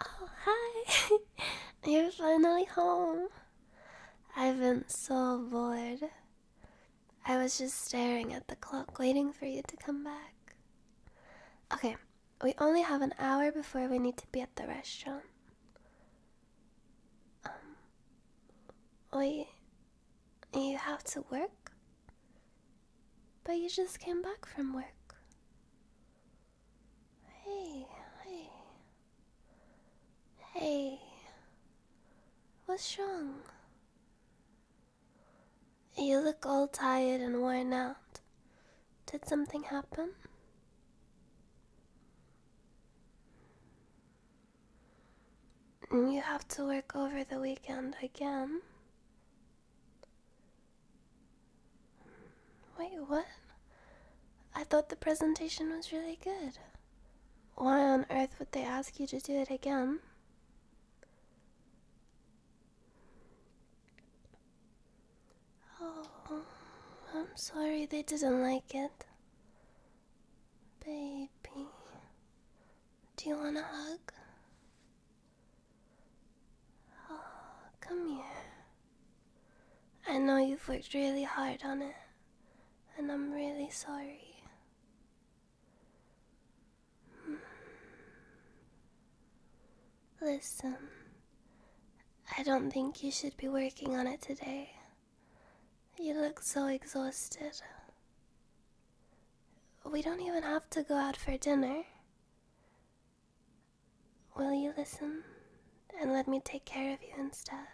Oh, hi! You're finally home. I've been so bored. I was just staring at the clock, waiting for you to come back. Okay, we only have an hour before we need to be at the restaurant. Um, we you have to work? But you just came back from work. Hey, hey. Hey. What's wrong? You look all tired and worn out. Did something happen? You have to work over the weekend again. Wait, what? I thought the presentation was really good. Why on earth would they ask you to do it again? Oh, I'm sorry they didn't like it. Baby, do you want a hug? come here. I know you've worked really hard on it, and I'm really sorry. Hmm. Listen, I don't think you should be working on it today. You look so exhausted. We don't even have to go out for dinner. Will you listen and let me take care of you instead?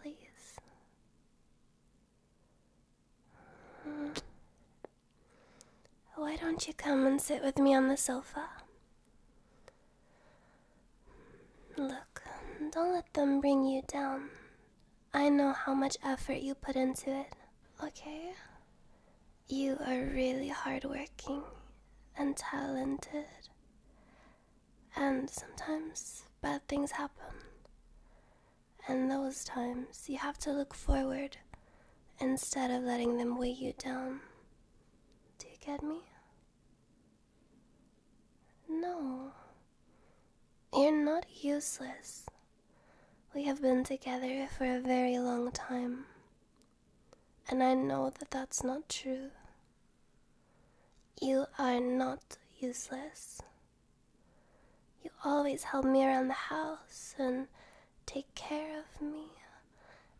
Please. Hmm. Why don't you come and sit with me on the sofa? Look, don't let them bring you down. I know how much effort you put into it, okay? You are really hardworking and talented. And sometimes bad things happen. And those times you have to look forward instead of letting them weigh you down. Do you get me? No. You're not useless. We have been together for a very long time, and I know that that's not true. You are not useless. You always help me around the house and take care of me,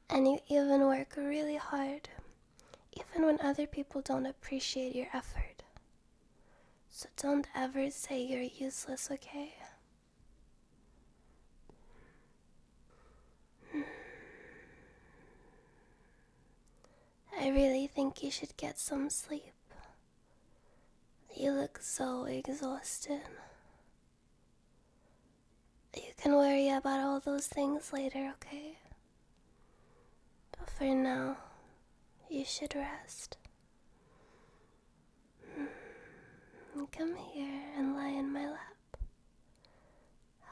and you even work really hard, even when other people don't appreciate your effort. So don't ever say you're useless, okay? Hmm. I really think you should get some sleep. You look so exhausted. You can worry about all those things later, okay? But for now, you should rest. Hmm. Come here and lie in my lap.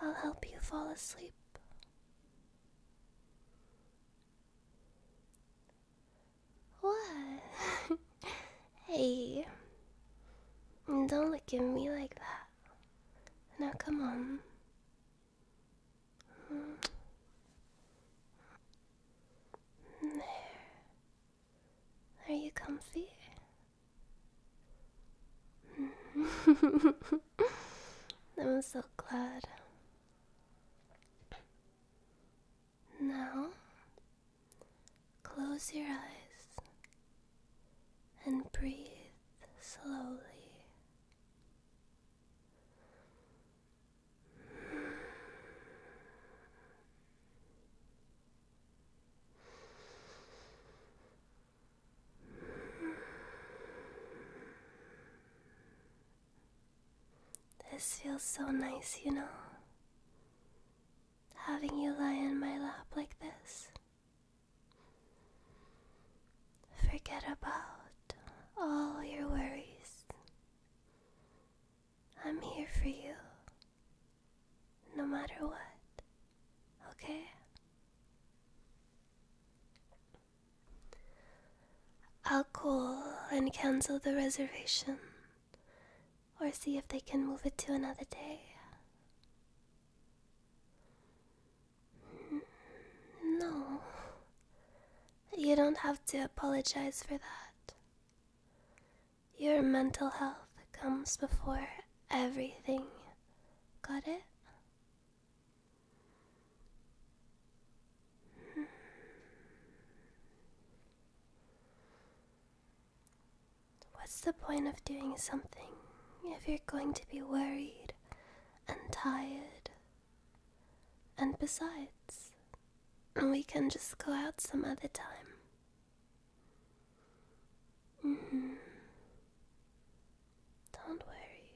I'll help you fall asleep. What? hey, don't look at me like that. Now come on, there. Are you comfy? I'm so glad. Now, close your eyes and breathe slowly. This feels so nice, you know. Having you lie in my lap like this. Forget about all your worries. I'm here for you, no matter what, okay? I'll call and cancel the reservation, or see if they can move it to another day. No. You don't have to apologize for that. Your mental health comes before everything. Got it? What's the point of doing something if you're going to be worried and tired. And besides, we can just go out some other time. Mm-hmm. Don't worry.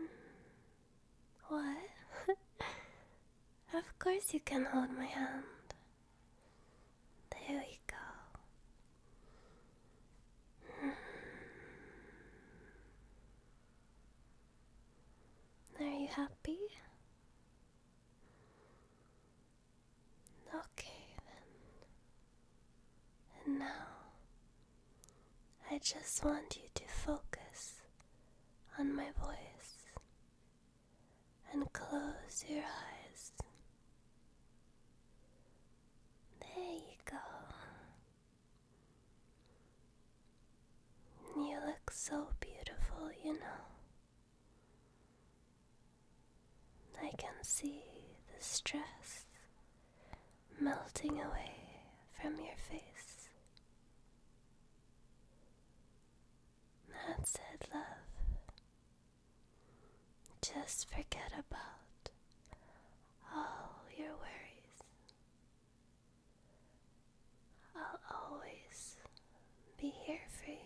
Hmm. What? of course you can hold my hand. There we go. Hmm. Are you happy? Okay then. And now I just want you to focus on my voice and close your eyes. There you go. You look so beautiful, you know. I can see the stress melting away from your face. That's it, love. Just forget about all your worries. I'll always be here for you.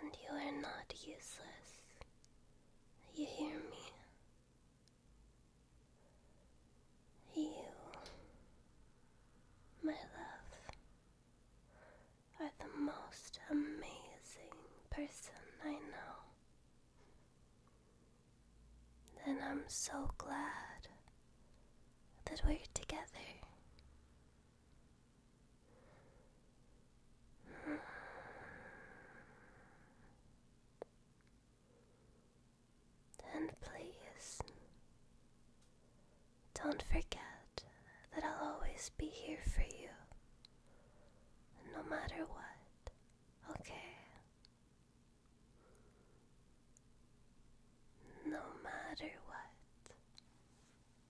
And you are not useless. You hear me? You, my love, are the most amazing person I know. And I'm so glad that we're together. And please, don't forget that I'll always be here for you, no matter what, okay? No matter what.